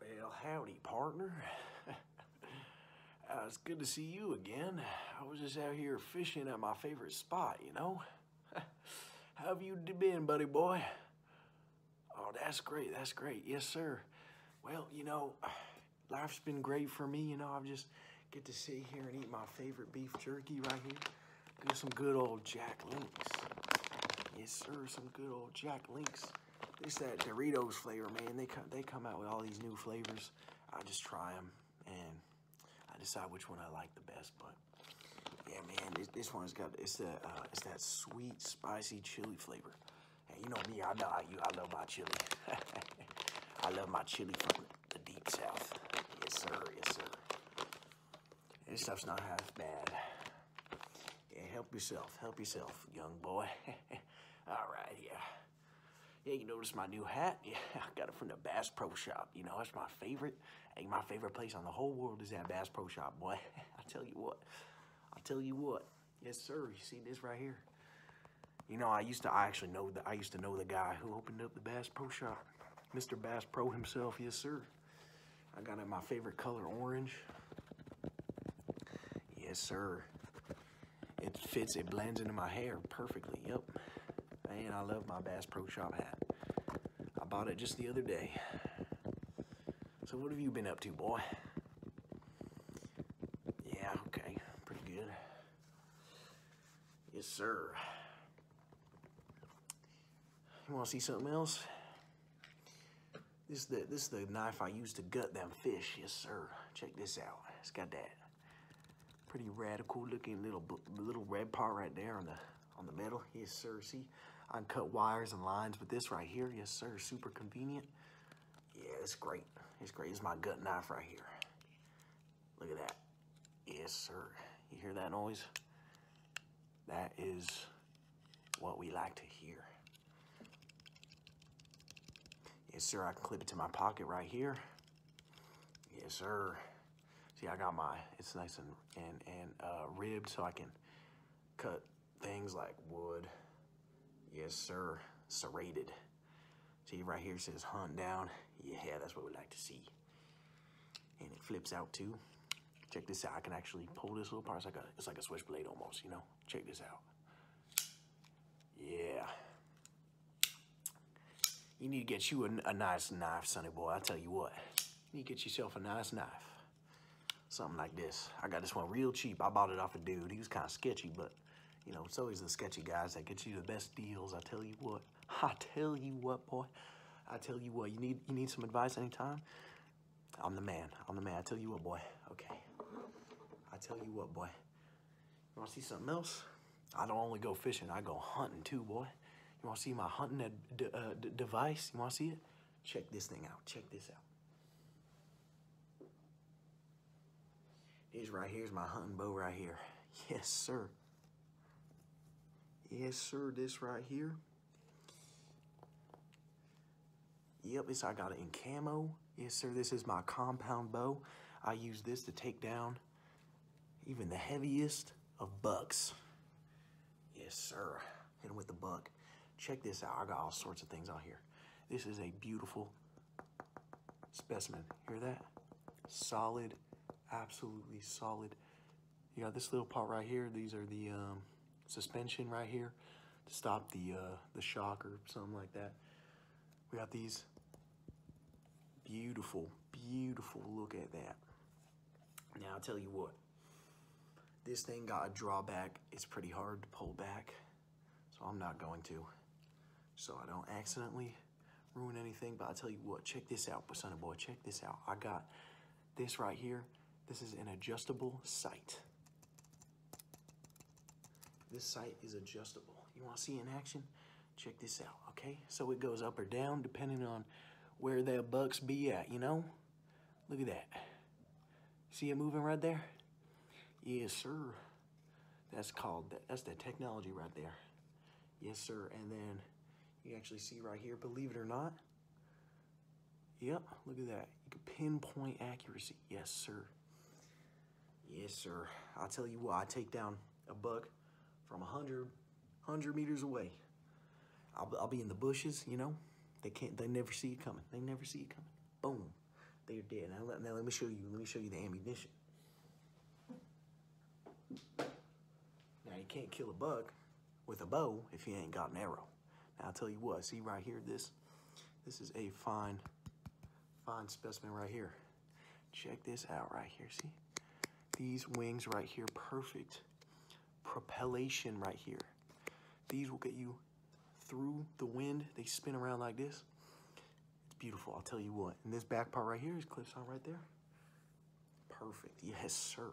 Well, howdy, partner. uh, it's good to see you again. I was just out here fishing at my favorite spot, you know? How have you been, buddy boy? Oh, that's great, that's great. Yes, sir. Well, you know, life's been great for me. You know, I've just get to sit here and eat my favorite beef jerky right here. Get some good old Jack Links. Yes, sir, some good old Jack Links. It's that Doritos flavor, man. They come, they come out with all these new flavors. I just try them, and I decide which one I like the best. But yeah, man, this, this one's got it's that uh, it's that sweet, spicy chili flavor. And you know me, I know how you. I love my chili. I love my chili from the deep south. Yes, sir. Yes, sir. This stuff's not half bad. Yeah, help yourself. Help yourself, young boy. All right, yeah. Yeah, you notice my new hat? Yeah, I got it from the Bass Pro Shop. You know, it's my favorite. Hey, my favorite place on the whole world is that Bass Pro Shop, boy. I tell you what. I tell you what. Yes, sir. You see this right here? You know, I used to I actually know the. I used to know the guy who opened up the Bass Pro Shop. Mr. Bass Pro himself, yes sir. I got it my favorite color, orange. Yes, sir. It fits, it blends into my hair perfectly, yep. And I love my Bass Pro Shop hat. I bought it just the other day. So what have you been up to, boy? Yeah, okay, pretty good. Yes, sir. You wanna see something else? This is the knife I use to gut them fish. Yes, sir. Check this out. It's got that pretty radical looking little little red part right there on the on the metal. Yes, sir. See, I can cut wires and lines with this right here. Yes, sir. Super convenient. Yeah, it's great. It's great. It's my gut knife right here. Look at that. Yes, sir. You hear that noise? That is what we like to hear. Yes, sir, I can clip it to my pocket right here. Yes, sir. See, I got my, it's nice and, and, and uh, ribbed so I can cut things like wood. Yes, sir, serrated. See, right here says hunt down. Yeah, that's what we like to see. And it flips out too. Check this out. I can actually pull this little part. It's like a, it's like a switchblade almost, you know? Check this out. Yeah. You need to get you a, nice knife, sonny boy. I'll tell you what. You get yourself a nice knife. Something like this. I got this one real cheap. I bought it off a dude. He was kind of sketchy, but, you know, it's always the sketchy guys that get you the best deals. I tell you what. I tell you what, boy. I tell you what, you need you need some advice anytime? I'm the man. I'm the man. I tell you what, boy. Okay. I tell you what, boy. You want to see something else? I don't only go fishing. I go hunting too, boy. You want to see my hunting uh, uh device? You want to see it? Check this thing out. Check this out. This right here is my hunting bow right here. Yes, sir. Yes, sir. This right here Yep, this I got it in camo. Yes, sir, this is my compound bow. I use this to take down even the heaviest of bucks. Yes, sir. And with the buck. Check this out. I got all sorts of things on here. This is a beautiful specimen. Hear that? Solid, absolutely solid you got this little part right here. These are the um, suspension right here to stop the, uh, the shock or something like that. We got these beautiful, beautiful. Look at that. Now, I'll tell you what. This thing got a drawback. It's pretty hard to pull back, so I'm not going to. So I don't accidentally ruin anything, but i tell you what. Check this out, Persona Boy. Check this out. I got this right here, this is an adjustable sight. This sight is adjustable. You wanna see in action? Check this out, okay? So it goes up or down depending on where the bucks be at, you know? Look at that. See it moving right there? Yes, sir. That's called, that's that technology right there. Yes, sir. And then you actually see right here, believe it or not, Yep, look at that. You can pinpoint accuracy. Yes, sir. Yes, sir. i tell you what, I take down a buck from a hundred, hundred meters away. I'll, be in the bushes, you know. They can't, they never see it coming. They never see it coming. Boom. They're dead. Now let, now let me show you, let me show you the ammunition. Now you can't kill a buck, with a bow if he ain't got an arrow. Now I'll tell you what, see right here, this this is a fine, fine specimen right here. Check this out right here, see? These wings right here, perfect propellation right here. These will get you through the wind. They spin around like this. It's beautiful, I'll tell you what. And this back part right here is clips on right there. Perfect, yes sir.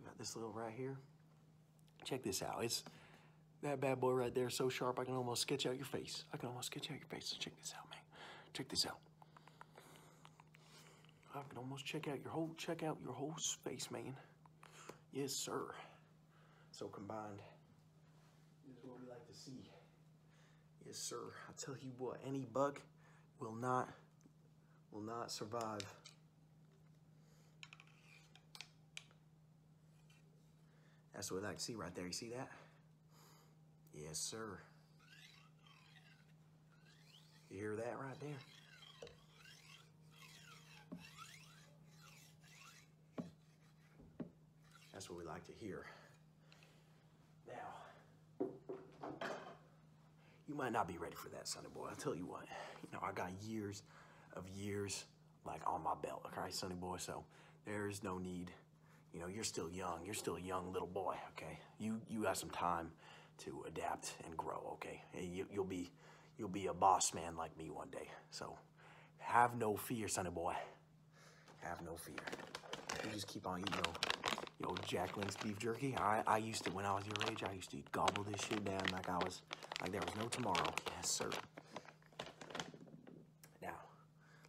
We got this little right here. Check this out. It's that bad boy right there so sharp I can almost sketch out your face. I can almost sketch out your face. check this out, man. Check this out. I can almost check out your whole check out your whole space, man. Yes, sir. So combined this is what we like to see. Yes, sir. I tell you what, any buck will not will not survive. That's what I like see right there. You see that? Yes, sir. You hear that right there? That's what we like to hear. Now, you might not be ready for that, sonny boy. I'll tell you what, you know, I got years of years like on my belt, okay, sonny boy? So there's no need, you know, you're still young. You're still a young little boy, okay? You, you got some time to adapt and grow, okay? you, you'll be, you'll be a boss man like me one day. So have no fear, sonny boy. Have no fear. You just keep on eating your, your Jack Link's beef jerky. I, I used to, when I was your age, I used to gobble this shit down like I was, like there was no tomorrow. Yes, sir. Now,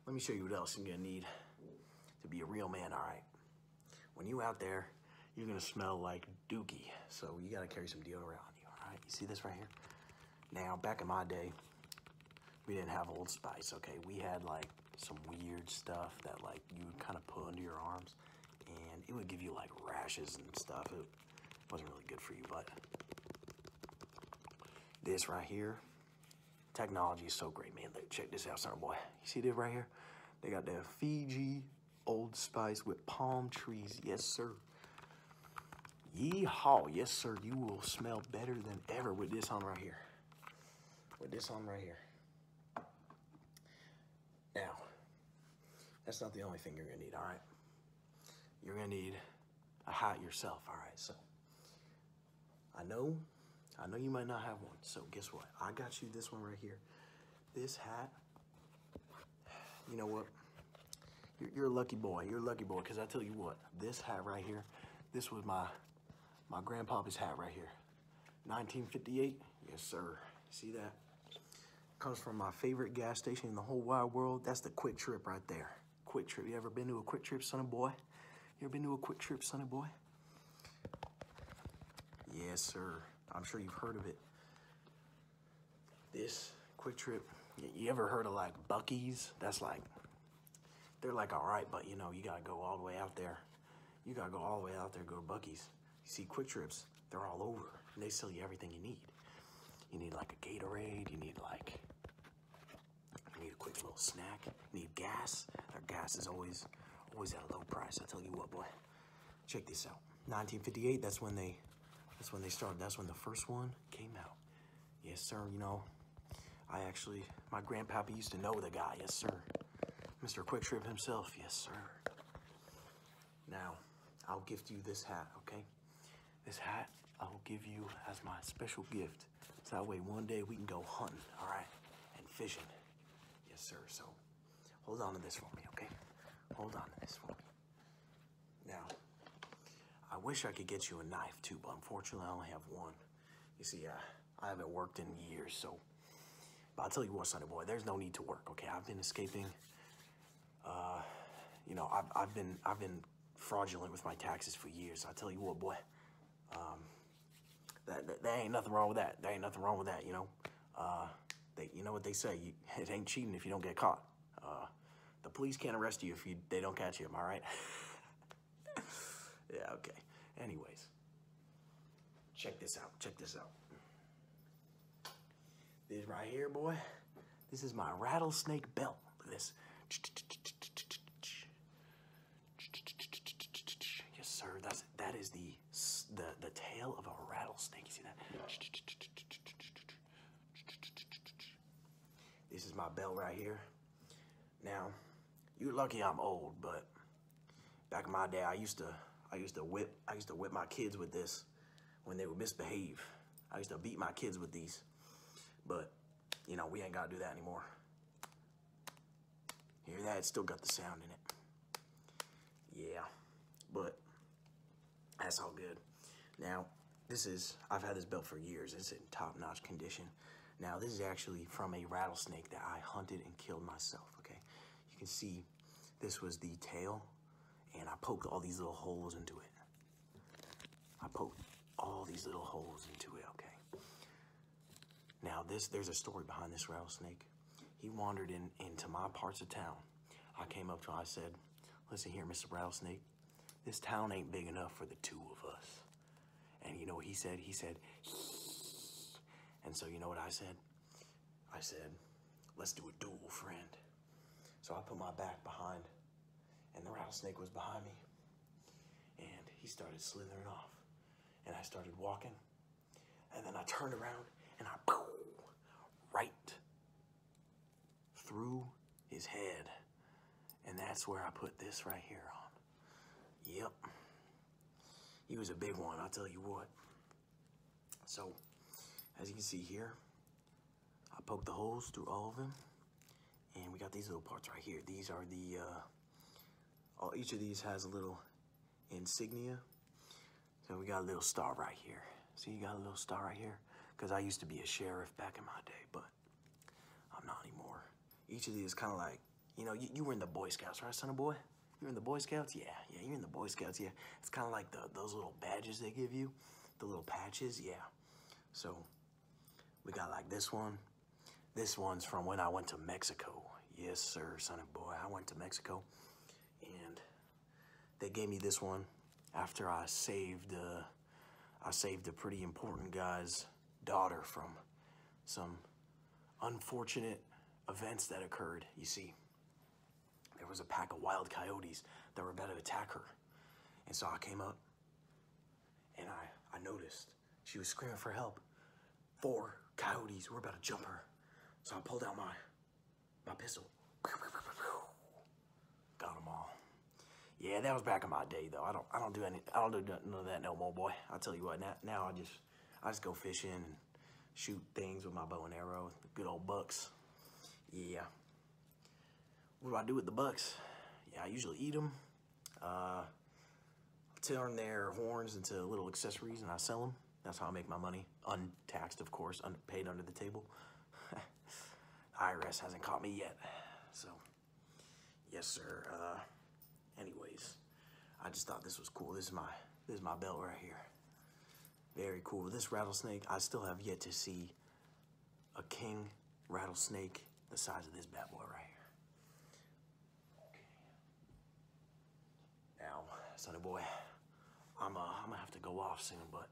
let me show you what else you're gonna need to be a real man, all right? When you out there, you're gonna smell like dookie. So you gotta carry some deodorant on you, all right? You see this right here? Now, back in my day, we didn't have Old Spice, okay? We had like some weird stuff that like you would kind of put under your arms and it would give you like rashes and stuff. It wasn't really good for you, but this right here, technology is so great, man. Look, check this out, son boy. You see this right here? They got that Fiji Old Spice with palm trees. Yes, sir. Yeehaw. Yes, sir. You will smell better than ever with this on right here. With this on right here. Now, that's not the only thing you're gonna need, all right? You're gonna need a hat yourself, all right? So I know, I know you might not have one, so guess what? I got you this one right here. This hat, you know what? You're, a lucky boy, you're a lucky boy, because I tell you what, this hat right here, this was my, my grandpa's hat right here. 1958. Yes, sir. See that? Comes from my favorite gas station in the whole wide world. That's the Quick Trip right there. Quick Trip. You ever been to a Quick Trip, sonny boy? You ever been to a Quick Trip, sonny boy? Yes, sir. I'm sure you've heard of it. This Quick Trip. You ever heard of like Buckies? That's like they're like, all right, but you know, you gotta go all the way out there. You gotta go all the way out there, go Buckies. You see Quick Trips, they're all over. they sell you everything you need. You need like a Gatorade, you need like, you need a quick little snack, need gas. Their gas is always, always at a low price. I tell you what, boy, check this out. 1958, that's when they, that's when they started. That's when the first one came out. Yes, sir, you know, I actually, my grandpappy used to know the guy, yes sir. Mr. Quicktrip himself, yes sir. Now, I'll gift you this hat, okay? This hat I will give you as my special gift. So that way one day we can go hunting, all right? And fishing. Yes sir, so hold on to this for me, okay? Hold on to this for me. Now, I wish I could get you a knife too, but unfortunately I only have one. You see, uh, I haven't worked in years, so. But I'll tell you what, sonny boy, there's no need to work, okay? I've been escaping. Uh, you know, I've, I've been I've been fraudulent with my taxes for years. I tell you what, boy, um, that, ain't nothing wrong with that. There ain't nothing wrong with that, you know. Uh, they, you know what they say, it ain't cheating if you don't get caught. the police can't arrest you if you, they don't catch you, All right. yeah, okay. Anyways, check this out. Check this out. This right here, boy, this is my rattlesnake belt. this. Yes, sir. That's that is the the the tail of a rattlesnake. You see that? This is my belt right here. Now, you're lucky I'm old, but back in my day, I used to, I used to whip, I used to whip my kids with this when they would misbehave. I used to beat my kids with these, but you know, we ain't gotta do that anymore. Hear that? It's still got the sound in it. Yeah, but that's all good. Now, this is, I've had this belt for years. It's in top-notch condition. Now, this is actually from a rattlesnake that I hunted and killed myself, okay? You can see this was the tail, and I poked all these little holes into it. I poked all these little holes into it, okay? Now, this there's a story behind this rattlesnake. He wandered in into my parts of town. I came up to him, I said, listen here, Mr. Rattlesnake, this town ain't big enough for the two of us. And you know what he said? He said, and so you know what I said? I said, let's do a duel, friend. So I put my back behind, and the rattlesnake was behind me, and he started slithering off. And I started walking, and then I turned around, and I, boom, right through his head. And that's where I put this right here on. Yep. He was a big one, I'll tell you what. So, as you can see here, I poked the holes through all of them. And we got these little parts right here. These are the, uh, all, each of these has a little insignia. So we got a little star right here. See, you got a little star right here? Because I used to be a sheriff back in my day, but I'm not anymore. Each of these is kind of like, you know, you, were in the Boy Scouts, right, son of boy? you were in the Boy Scouts? Yeah, yeah, you were in the Boy Scouts, yeah. It's kind of like the, those little badges they give you, the little patches, yeah. So we got like this one. This one's from when I went to Mexico. Yes, sir, son of boy, I went to Mexico. And they gave me this one after I saved uh, I saved a pretty important guy's daughter from some unfortunate events that occurred, you see. There was a pack of wild coyotes that were about to attack her. And so I came up and I, I noticed she was screaming for help. Four coyotes were about to jump her. So I pulled out my, my pistol. Got all. Yeah, that was back in my day though. I don't I don't do any I don't do none of that no more, boy. I tell you what, now, now I just I just go fishing and shoot things with my bow and arrow, good old bucks. Yeah. What do I do with the bucks? Yeah, I usually eat them. Uh, turn their horns into little accessories and I sell them. That's how I make my money. Untaxed, of course, un paid under the table. IRS hasn't caught me yet, so yes, sir. Uh, anyways, I just thought this was cool. This is my this my belt right here. Very cool. This rattlesnake, I still have yet to see a king rattlesnake the size of this bad boy right here. Okay. Now, sonny boy, I'm, I'm gonna have to go off soon, but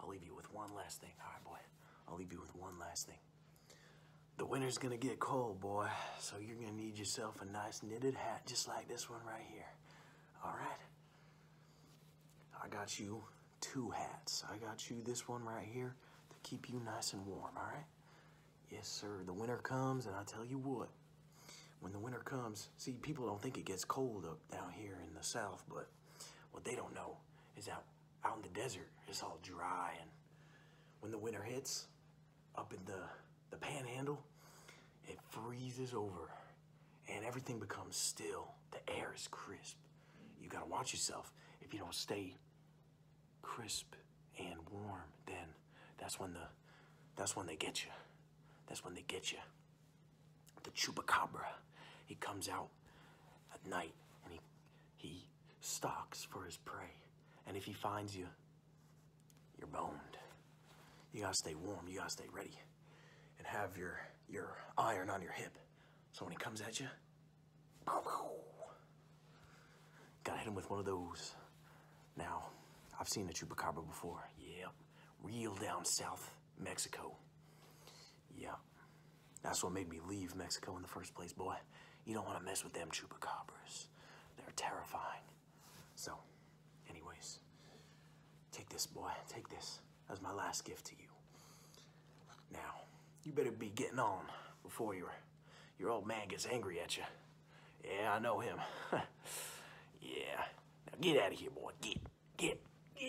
I'll leave you with one last thing. All right, boy. I'll leave you with one last thing. The winter's gonna get cold, boy, so you're gonna need yourself a nice knitted hat just like this one right here. All right? I got you two hats. I got you this one right here to keep you nice and warm, all right? Yes, sir. The winter comes, and I tell you what, when the winter comes, see, people don't think it gets cold up down here in the south, but what they don't know is that out in the desert, it's all dry. And when the winter hits, up in the, the panhandle, it freezes over and everything becomes still. The air is crisp. You gotta watch yourself. If you don't stay crisp and warm, then that's when the that's when they get you. That's when they get you the chupacabra. He comes out at night and he he stalks for his prey. And if he finds you, you're boned. You gotta stay warm, you gotta stay ready. And have your your iron on your hip. So when he comes at you, gotta hit him with one of those. Now, I've seen a chupacabra before. Yep, yeah, real down south. Mexico. Yeah. That's what made me leave Mexico in the first place, boy. You don't want to mess with them chupacabras. They're terrifying. So, anyways, take this, boy. Take this as my last gift to you. Now, you better be getting on before your, your old man gets angry at you. Yeah, I know him. yeah. Now get out of here, boy. Get, Get, get.